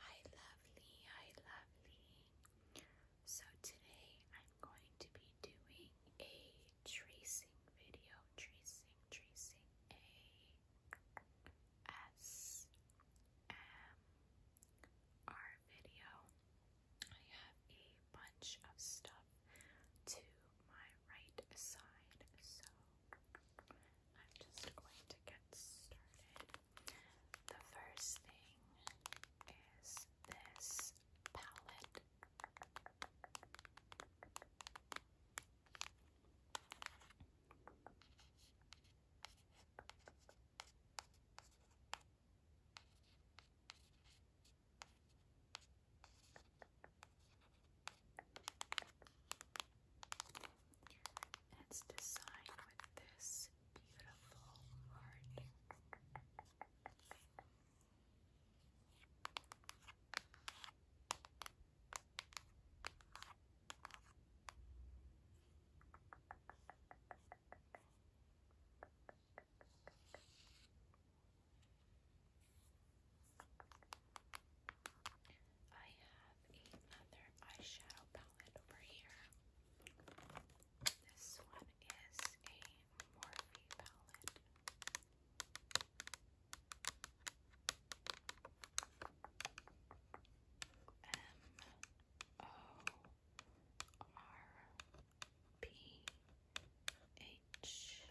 Hi lovely, hi lovely. So today I'm going to be doing a tracing video, tracing, tracing a S M R video. I have a bunch of stuff to my right side, so I'm just going to get started. The first thing is this palette and it's designed with this beautiful heart. I have another eyeshadow palette over here. This one is a Morphe palette. M O R P H E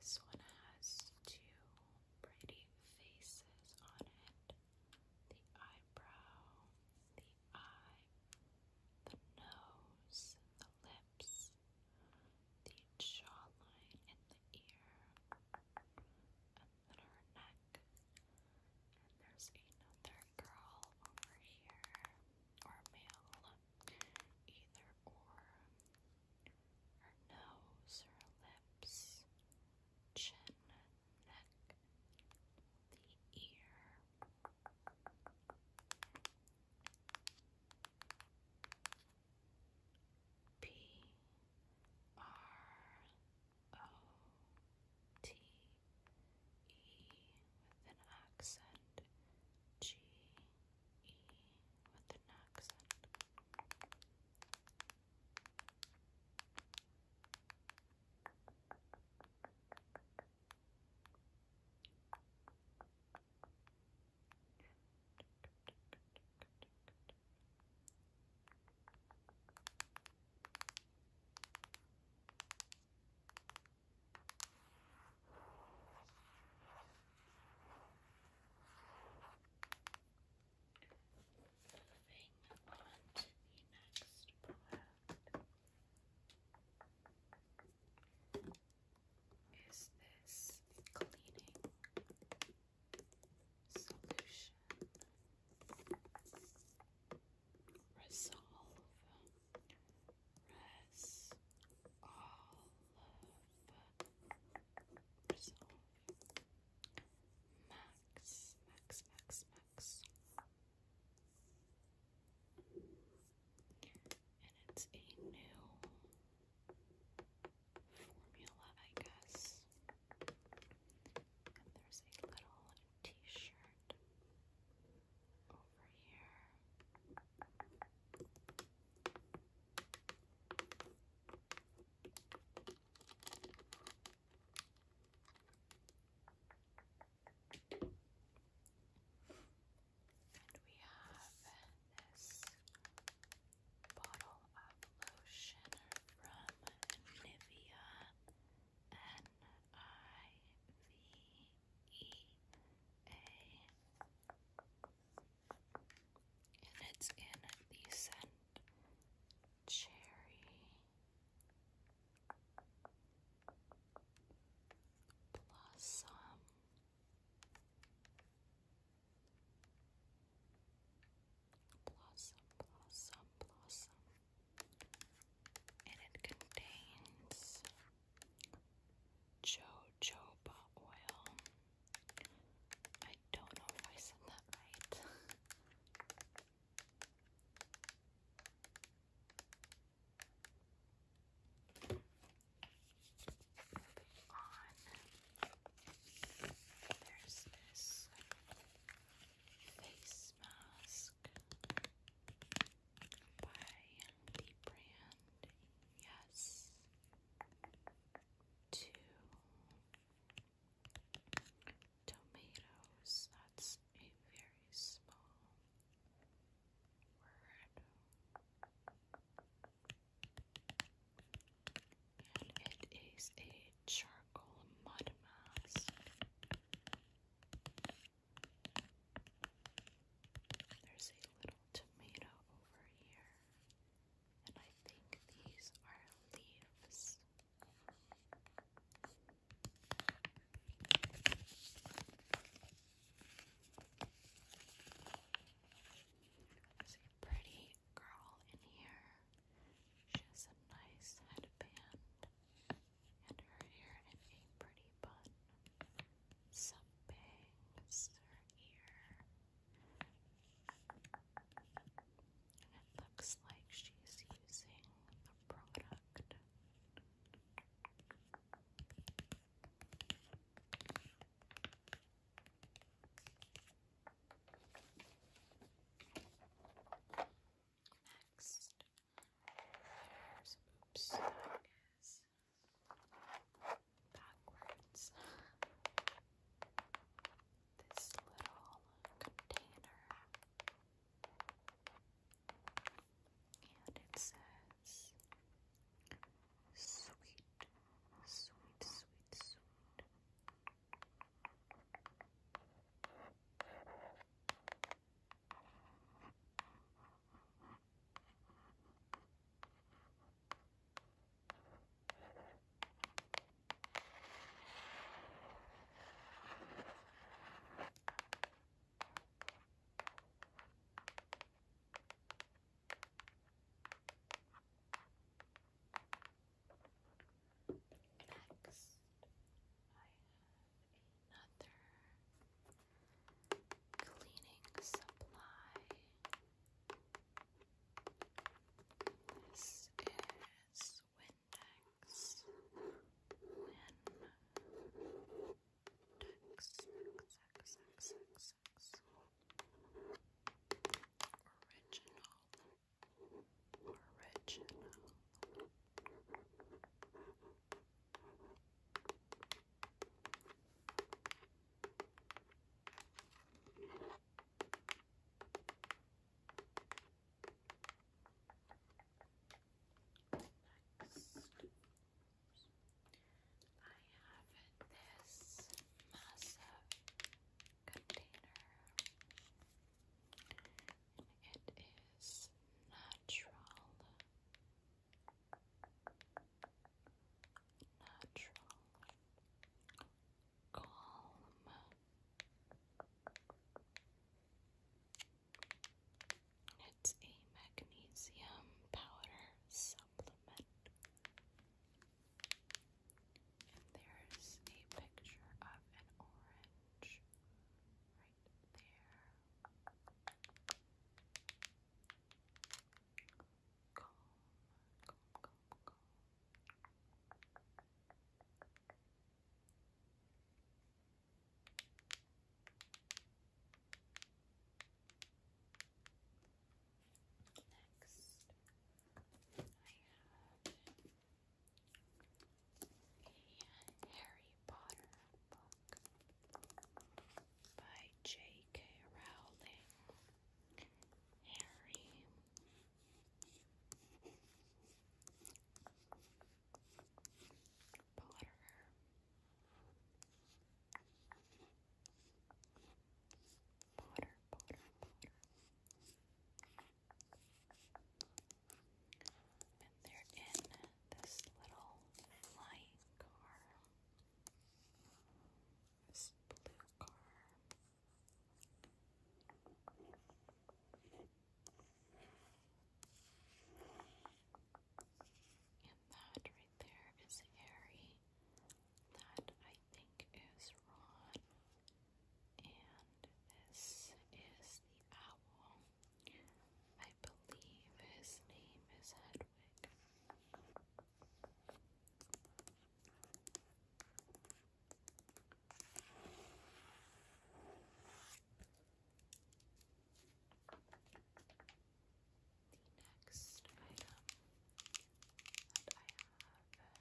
This one has two pretty faces on it the eyebrow, the eye, the nose, the lips, the jawline, and the ear, and then her neck. And there's another girl over here, or male, either or her nose, her lips, chin, neck, the ear. P R O T E with an accent G E with an accent. Moving on to the next product. Is this cleaning solution resolve res all so, max, max, max, max. And it's a new formula, I guess. And there's a little t shirt over here. And we have this bottle of lotion from Nivea N I V and it's in the scent cherry blossom. Blossom, blossom, blossom. And it contains jojoba oil. I don't know if I said that right. on, there's this face mask by the brand Yes Two Tomatoes. That's a very small word. And it is a charcoal mud mask. There's a little tomato over here, and I think these are leaves. There's a pretty girl in here. She has a nice headband and her hair in a pretty bun something. It's her ear. And it looks like she's using the product. Next, letters. Oops, that is backwards. This little container. And it says sweet, sweet, sweet, sweet. Next, I have a another cleaning supply. This is Windex. Windex. Original. Original this massive container. It is natural, natural, calm, it's a magnesium powder supplement. And there's a picture of an orange right right there. Calm, calm, calm, calm. Next, I have the Harry Potter book by J.K. Rowling. Harry. Potter, Potter, Potter. But they're in this little flying car. This blue car. And that right there is Harry. That I think is Ron. And this is the owl. I believe his name is Hedwig. The next item that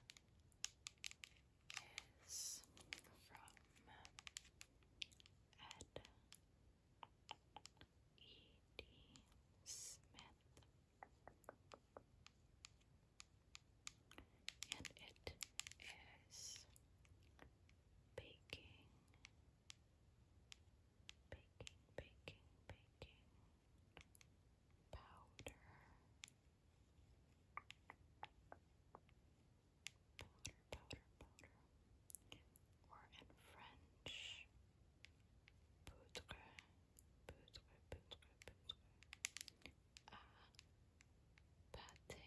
I have is from Ed E.D. Smith, and it is baking, baking, baking, baking powder. Powder, powder, Or in French, poudre, poudre, poudre, poudre. Ah, pâté.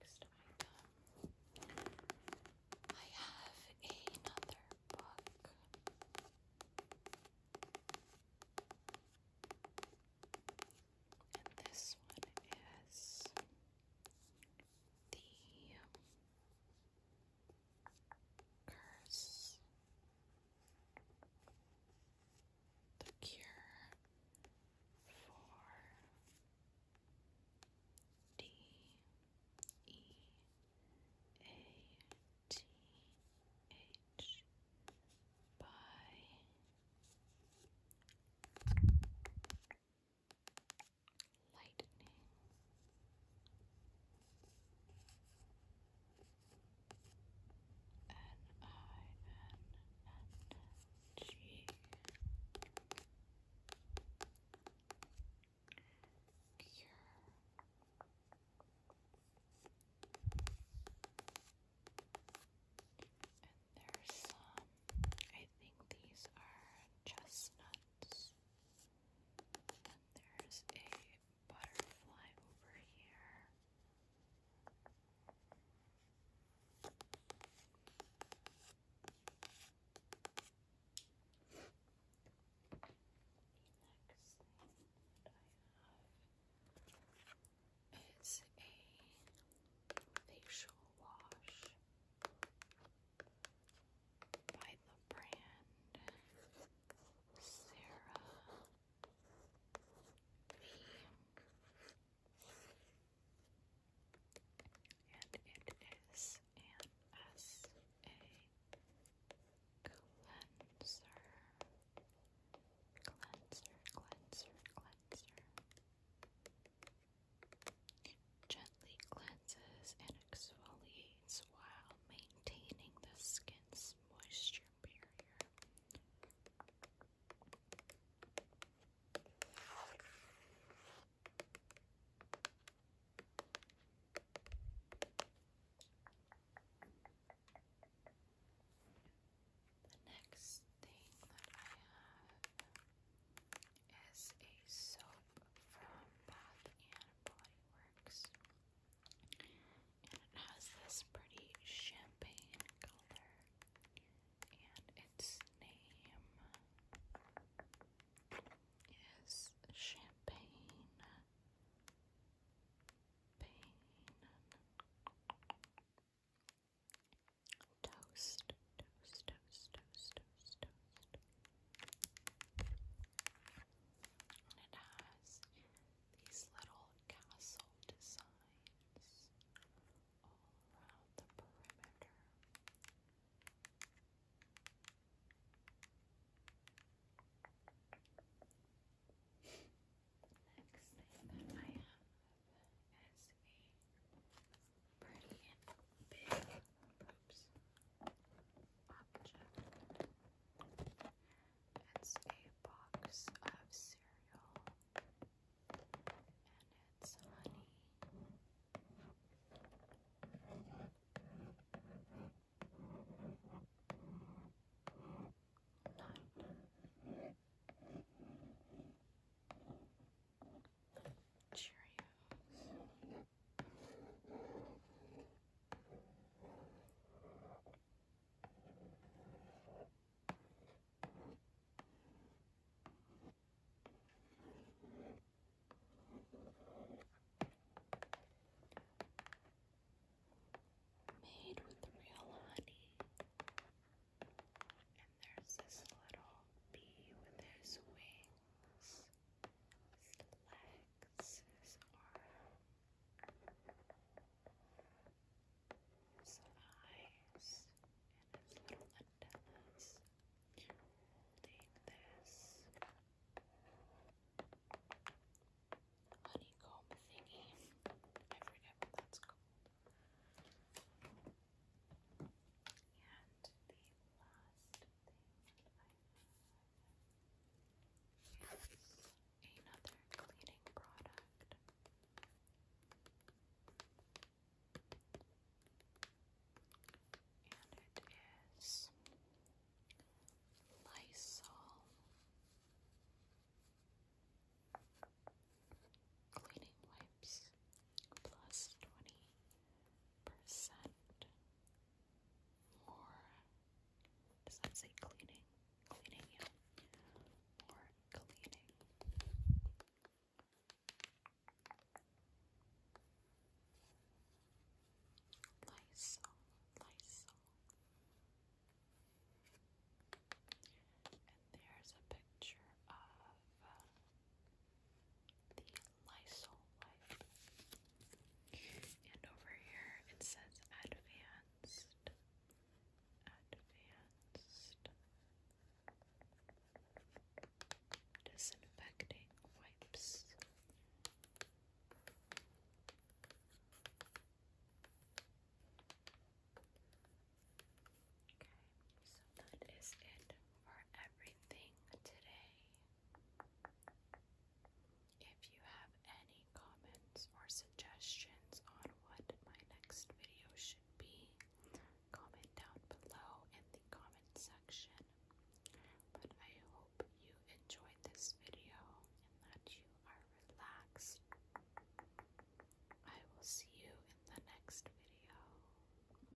Next item. I have another book. And this one is The Curse the cure for D E A T H by lightning. N I N N G Cure. And there's some, I think these are chestnuts. And there's a a butterfly over here. The next thing that I have is a facial wash by the brand Sarah and it is an S.A. cleanser. Cleanser, cleanser, cleanser. Gently cleanses and exfoliates while maintaining the skin's this moisture barrier. The next thing that I have is a soap from Bath and Body Works it has this pretty champagne color and its name is champagne toast toast toast toast toast and it has these little castle designs all around the perimeter. Next thing that I have is a pretty big Oops. It's a box of cereal and it's honey. Nut. Cheerios. Made with real honey. And there's this little bee with his wings legs, his eyes, and his little antennas. Holding this honeycomb thingy. I forget what that's called. And the last thing Here's another cleaning product. And it is Lysol cleaning wipes 20% more, does that say cleaning? Cleaning, More cleaning. Lysol, Lysol. And there's a picture of uh, the Lysol Life. And over here it says advanced. Advanced disinfecting wipes. Okay, so that is it for everything today. If you have any comments or suggestions on what my next video should be, comment down below in the comment section. But I hope you enjoyed this video and that you are relaxed. I will see you in the next video.